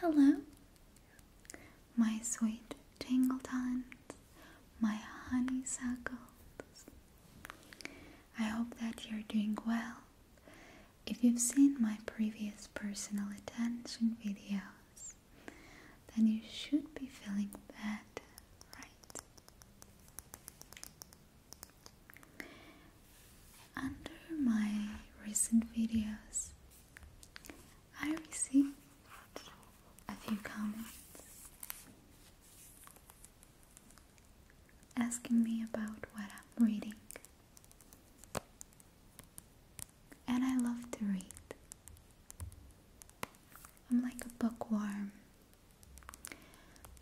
Hello, my sweet tingletons, my honeysuckle. I hope that you're doing well. If you've seen my previous personal attention videos, then you should be feeling better, right? Under my recent videos, I received a few comments asking me about what I'm reading. And I love to read. I'm like a bookworm.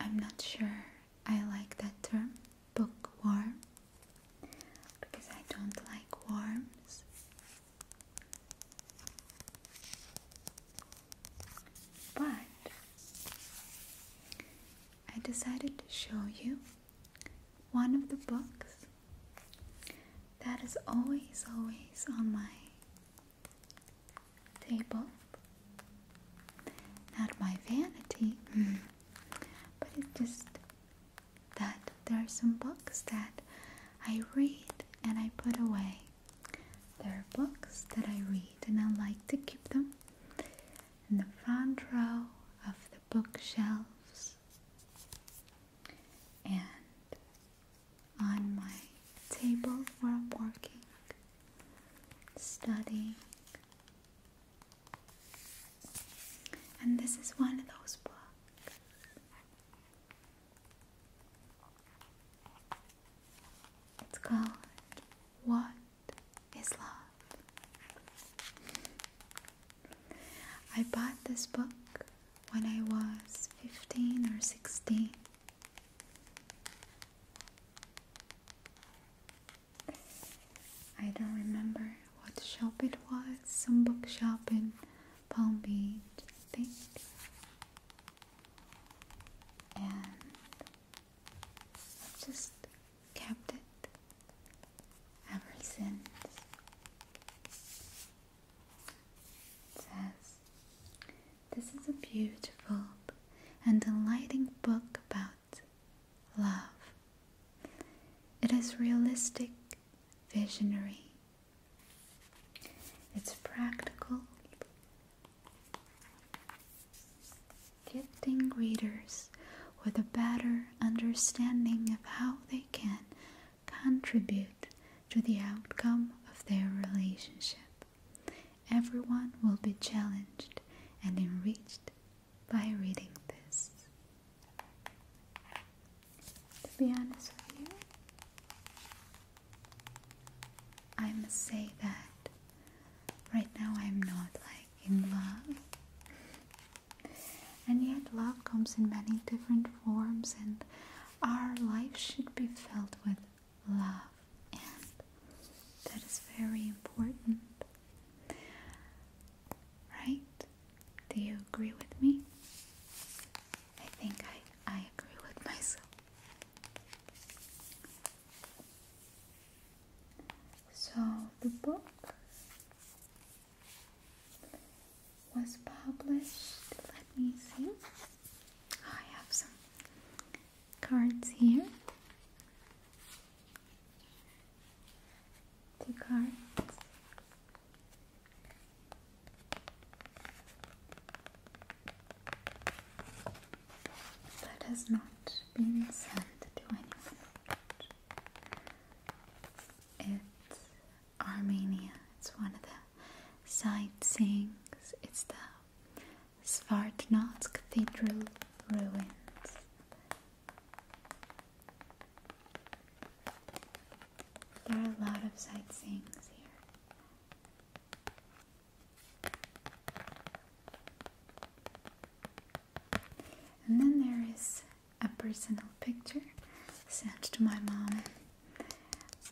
I'm not sure I like that term, bookworm because I don't like worms. But I decided to show you one of the books that is always, always on my table. Not my vanity. but it's just that there are some books that I read and I put away. There are books that I read and I like to keep them in the front row of the bookshelves and on my table where I'm working, studying, and this is one of those books. It's called What is Love? I bought this book when I was 15 or 16. I don't remember what shop it was, some bookshop in Palm Beach, I think. And just kept it ever since. It says, This is a beautiful and delighting book about love. It is realistic, visionary. It's practical. Gifting readers with a better understanding of how they can contribute to the outcome of their relationship. Everyone will be challenged and enriched by reading this. To be honest with you, I must say that right now I'm not like in love. And yet, love comes in many different forms, and our life should be filled with love, and that is very important. Right? Do you agree with me? I think I, I agree with myself. So the book was published. Let me see. Oh, I have some cards here two cards. That has not been sent to anyone. It's Armenia. It's one of the sightseeings. It's the Svartnats Cathedral ruins. There are a lot of sightseeings here. And then there is a personal picture sent to my mom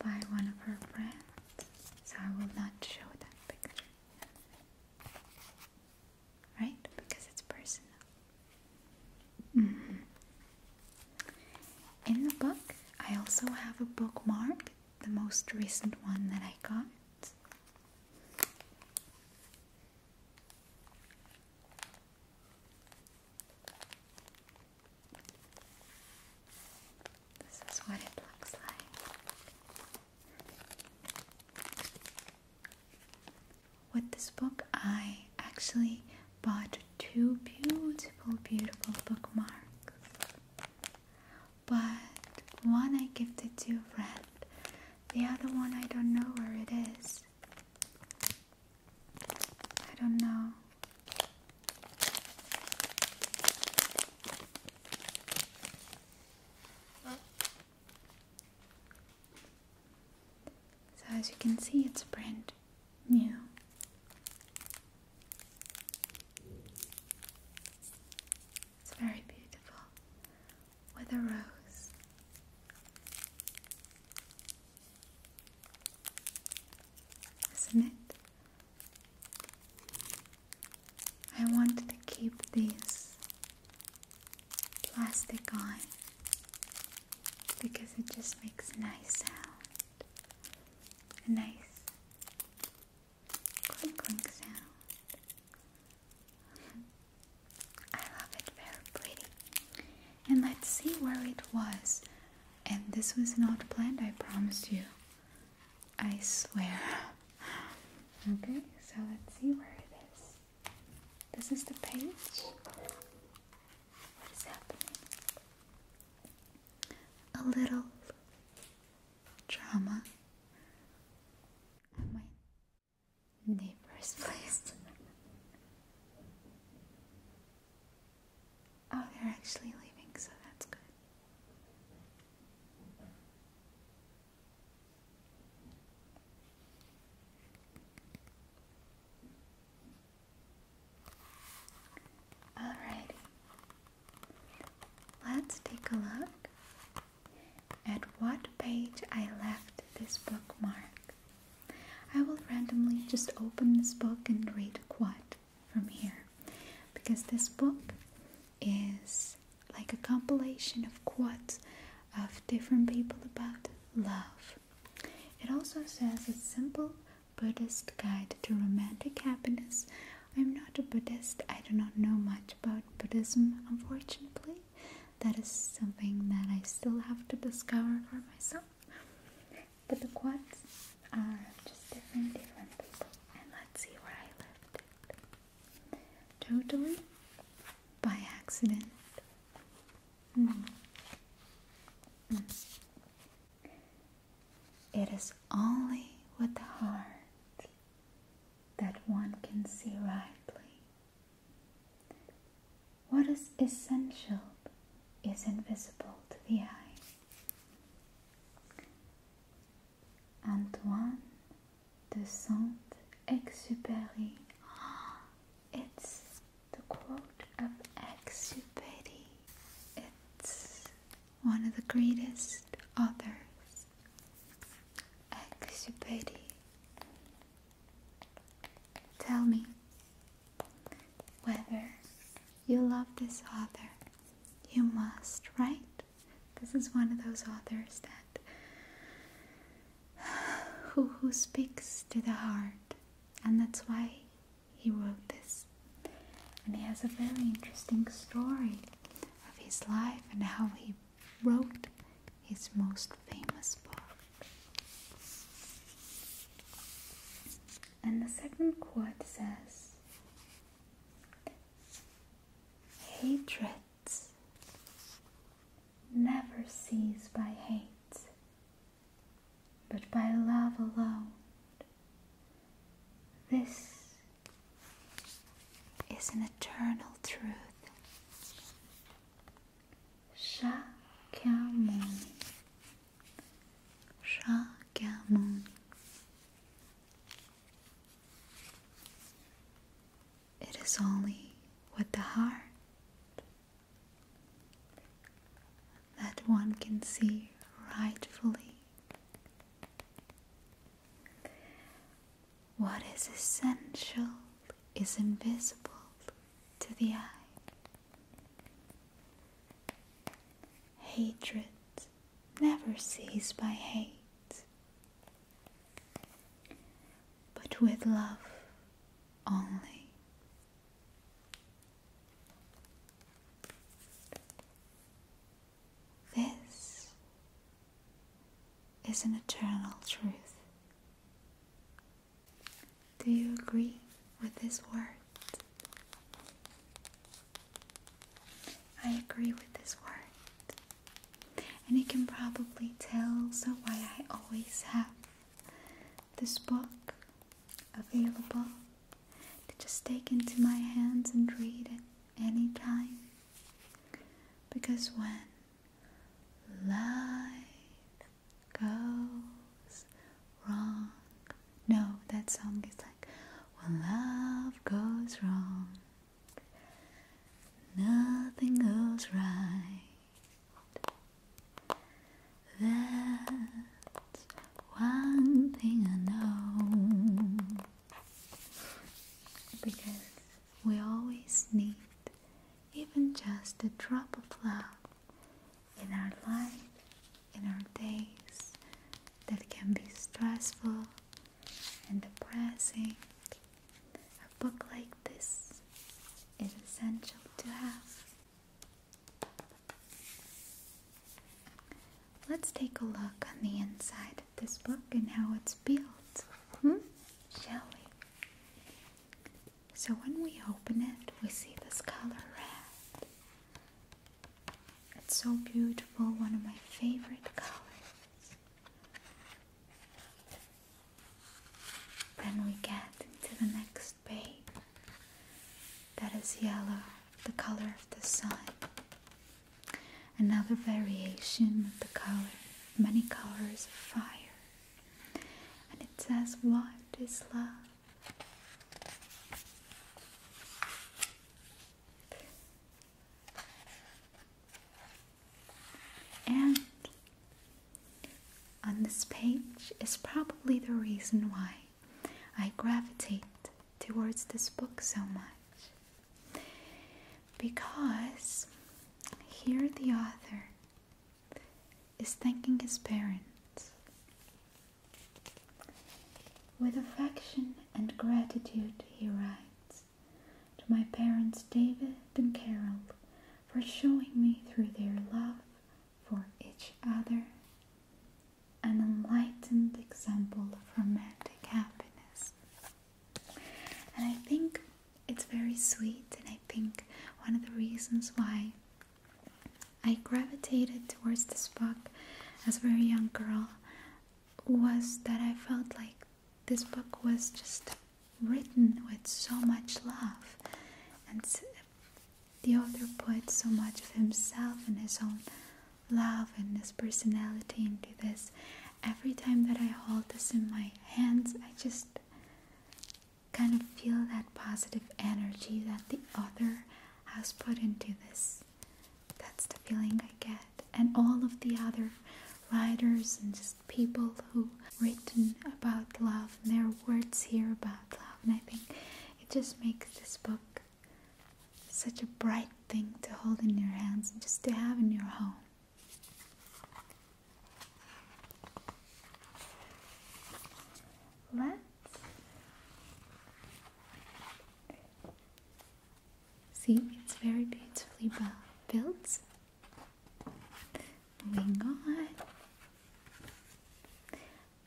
by one of her friends, so I will not show that picture right? Because it's personal. Mm-hmm. In the book, I also have a bookmark, the most recent one that I got. This is what it looks like. With this book, I actually bought two beautiful, beautiful bookmarks. But one I gifted to a friend, the other one I don't know where it is. I don't know. So as you can see, it's brand new. It's very beautiful with a rose. Isn't it? I want to keep this plastic on because it just makes a nice sound. A nice clink clink sound. I love it, very pretty. And let's see where it was. And this was not planned, I promise you. I swear. Okay, so let's see where it is. This is the page. What is happening? A little drama my neighbor's place. oh, they're actually leaving, so that's good. Alrighty, let's take a look at what page I left this bookmark. I will randomly just open this book and read what from here because this book is like a compilation of quads of different people about love. It also says a simple Buddhist guide to romantic happiness. I'm not a Buddhist, I do not know much about Buddhism, unfortunately. That is something that I still have to discover for myself. But the quads are just different, different people. And let's see where I left it totally by accident. Mm-hmm. Mm-hmm. It is only with the heart that one can see rightly. What is essential is invisible to the eye. and one de Saint-Exupéry. It's the quote of Exupéry. It's one of the greatest authors. Exupéry. Tell me whether you love this author. You must, right? This is one of those authors that who, who speaks to the heart, and that's why he wrote this. And he has a very interesting story of his life and how he wrote his most famous book. And the second quote says Hatred never seized by hate, but by love alone. This is an eternal truth. Chacun monde. Chacun monde. It is only with the heart that one can see rightfully what is essential is invisible to the eye. Hatred never sees by hate, but with love only. This is an eternal truth. Do you agree with this word? I agree with this word. And you can probably tell so why I always have this book available to just take into my hands and read it any time. Because when life goes wrong, no, that song is like when love goes wrong. Nothing goes right. That's one thing I know. Because we always need even just a drop of love in our life, in our days that can be stressful and depressing. A book like this is essential to have. Let's take a look on the inside of this book and how it's built, hmm? shall we? So when we open it, we see this color red. It's so beautiful, one of my favorite colors. Then we get into the next page that is yellow, the color of the sun. Another variation of the color, many colors of fire. And it says, What is love? And on this page is probably the reason why I gravitate towards this book so much. Because here the author is thanking his parents with affection and gratitude, he writes to my parents David and Carol for showing me through their love for each other an enlightened example of romantic happiness. And I think it's very sweet, and I think one of the reasons why I gravitated towards this book as a very young girl was that I felt like this book was just written with so much love, and the author put so much of himself and his own love and his personality into this. Every time that I hold this in my hands, I just kind of feel that positive energy that the author has put into this that's the feeling I get. And all of the other writers and just people who written about love and their words here about love. And I think it just makes this book such a bright thing to hold in your hands and just to have in your home. Let's See, it's very beautifully built. Moving on.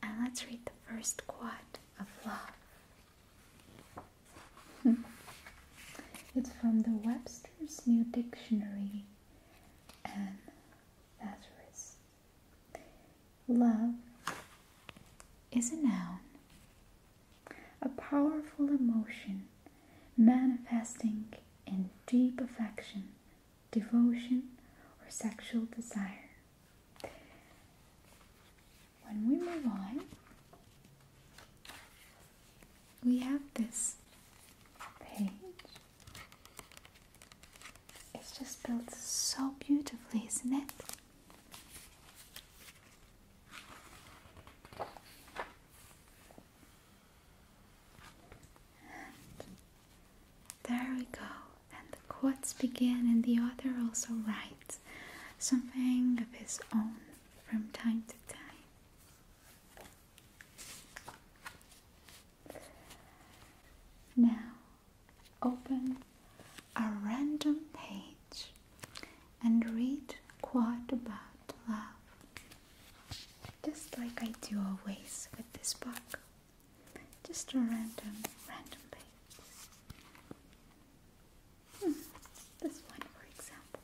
And let's read the first quad of love. Hmm. it's from the Webster's New Dictionary. And that is Love is a noun a powerful emotion manifesting in deep affection, devotion, or sexual desire. When we move on, we have this page. It's just built so beautifully, isn't it? And there we go. And the quotes begin, and the author also writes something of his own from time to time. Now, open a random page and read quite about love, just like I do always with this book. Just a random, random page. Hmm, this one, for example.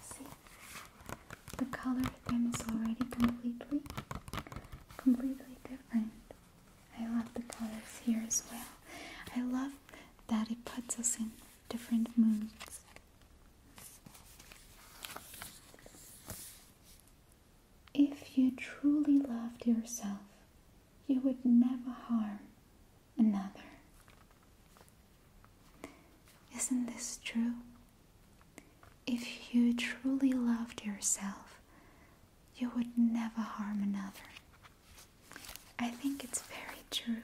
See, the color theme is already completely, completely different. I love the colors here as well. I love that it puts us in different moods. If you truly loved yourself, you would never harm another. Isn't this true? If you truly loved yourself, you would never harm another. I think it's very true.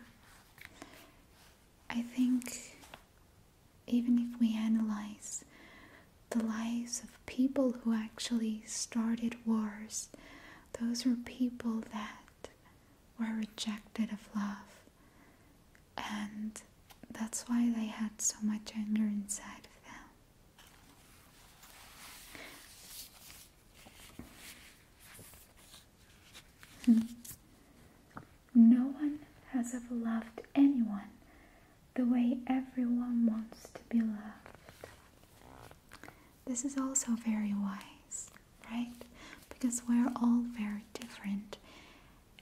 I think even if we analyze the lives of people who actually started wars, those were people that were rejected of love. And that's why they had so much anger inside of them. Hmm. no one has ever loved anyone the way everyone wants to be loved. This is also very wise, right? Because we're all very different,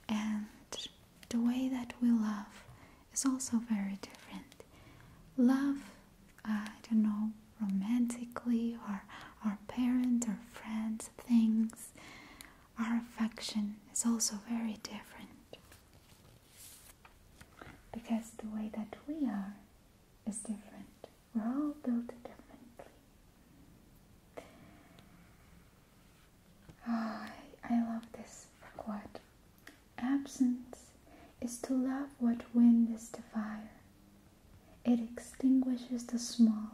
and the way that we love is also very different. Love, I don't know, romantically or our parents or friends, things, our affection is also very different. Because the way that we are is different. We're all built differently. Ah, I, love this quote. Absence is to love what wind is to fire. It extinguishes the small,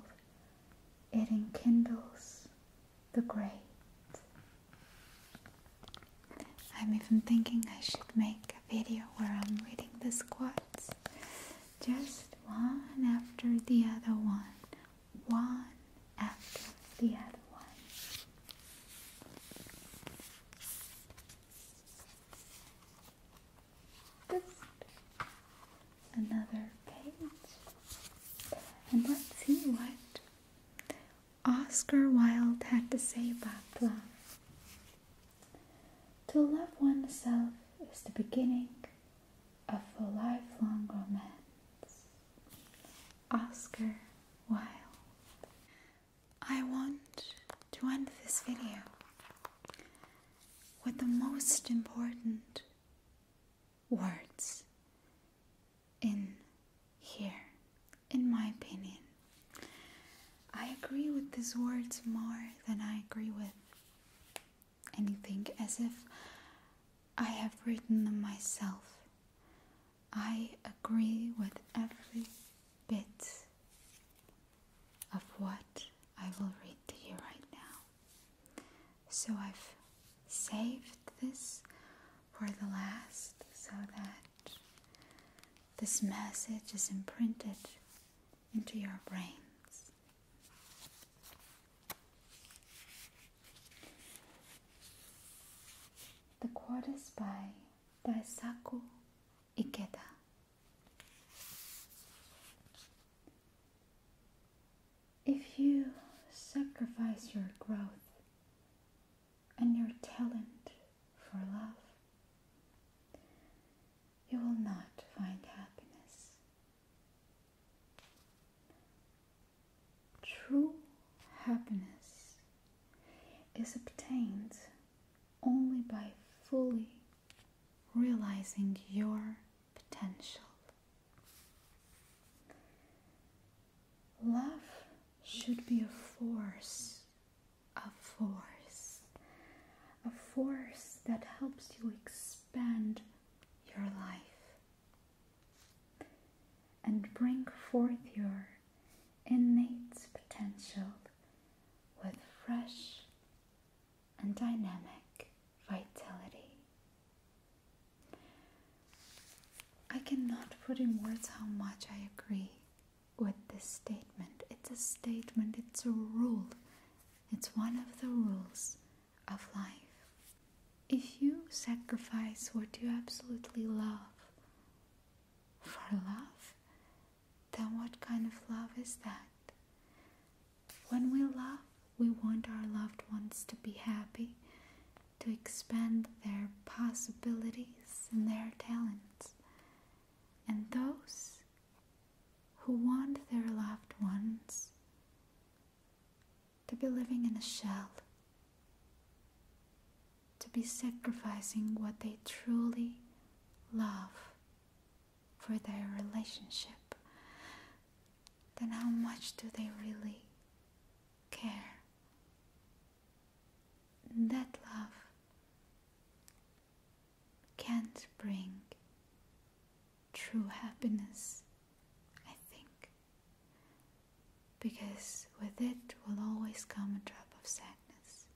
it enkindles the great. I'm even thinking I should make a video where I'm reading the squats. Just one after the other one. One after the other one. Good. Another page. And let's see what Oscar Wilde had to say about love. To love oneself is the beginning of a lifelong romance. Oscar Wilde. I want to end this video with the most important words in here, in my opinion. I agree with these words more than I agree with anything, as if I have written them myself. I agree with every bit of what I will read to you right now. So I've saved this for the last so that this message is imprinted into your brains. The quote is by if you sacrifice your growth and your talent for love, you will not find happiness. True happiness is obtained only by fully realizing your potential. Love should be a force, a force, a force that helps you expand your life and bring forth your innate potential with fresh and dynamic vitality. I cannot put in words how much I agree with this statement. It's a statement, it's a rule, it's one of the rules of life. If you sacrifice what you absolutely love for love, then what kind of love is that? When we love, we want our loved ones to be happy, to expand their possibilities and their talents. And those who want their loved ones to be living in a shell to be sacrificing what they truly love for their relationship, then how much do they really care? That love can't bring true happiness, I think because with it will always come a drop of sadness.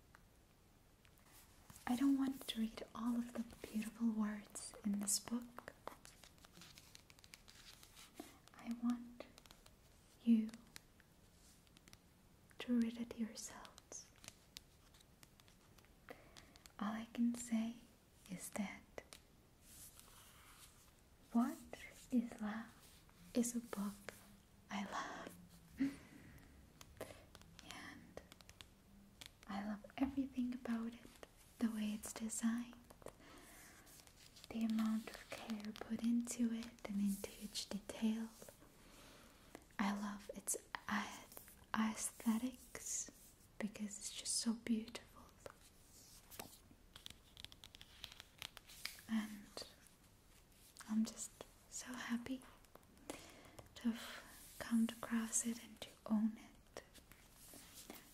I don't want to read all of the beautiful words in this book. I want you to read it yourselves. All I can say is that what is Love is a book I love. and I love everything about it the way it's designed, the amount of care put into it, and into each detail. I love its aesthetics because it's just so beautiful. And I'm just so happy to have come across it and to own it.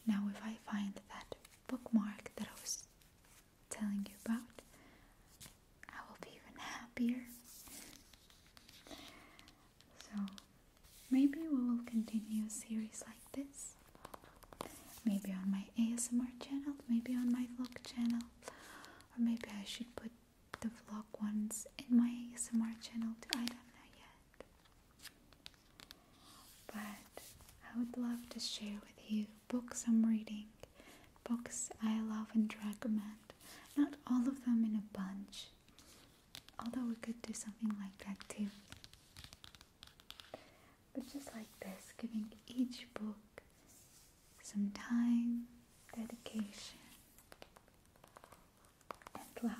Now, if I find that bookmark that I was telling you about, I will be even happier. So, maybe we will continue a series like this. Maybe on my ASMR channel, maybe on my vlog channel, or maybe I should put the vlog ones in my ASMR channel too. I don't know yet. But I would love to share with you books I'm reading, books I love and recommend. Not all of them in a bunch, although we could do something like that too. But just like this, giving each book some time, dedication, and love.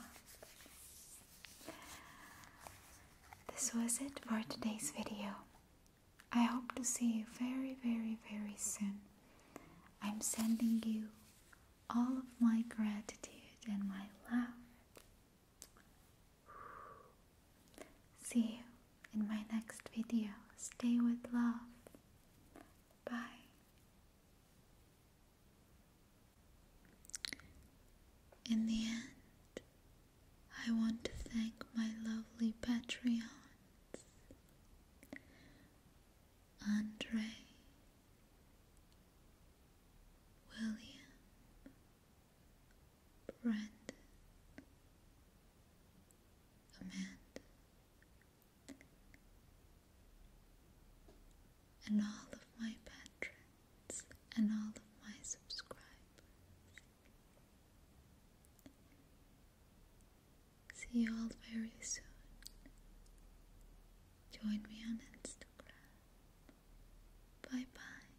This was it for today's video. I hope to see you very, very, very soon. I'm sending you all of my gratitude and my love. See you in my next video. Stay with love. Bye. In the end, I want to thank my lovely Patreons Andre, William, Brandon, Amanda, and all of my patrons and all of my subscribers. See you all very soon. Join me on Instagram. Bye bye.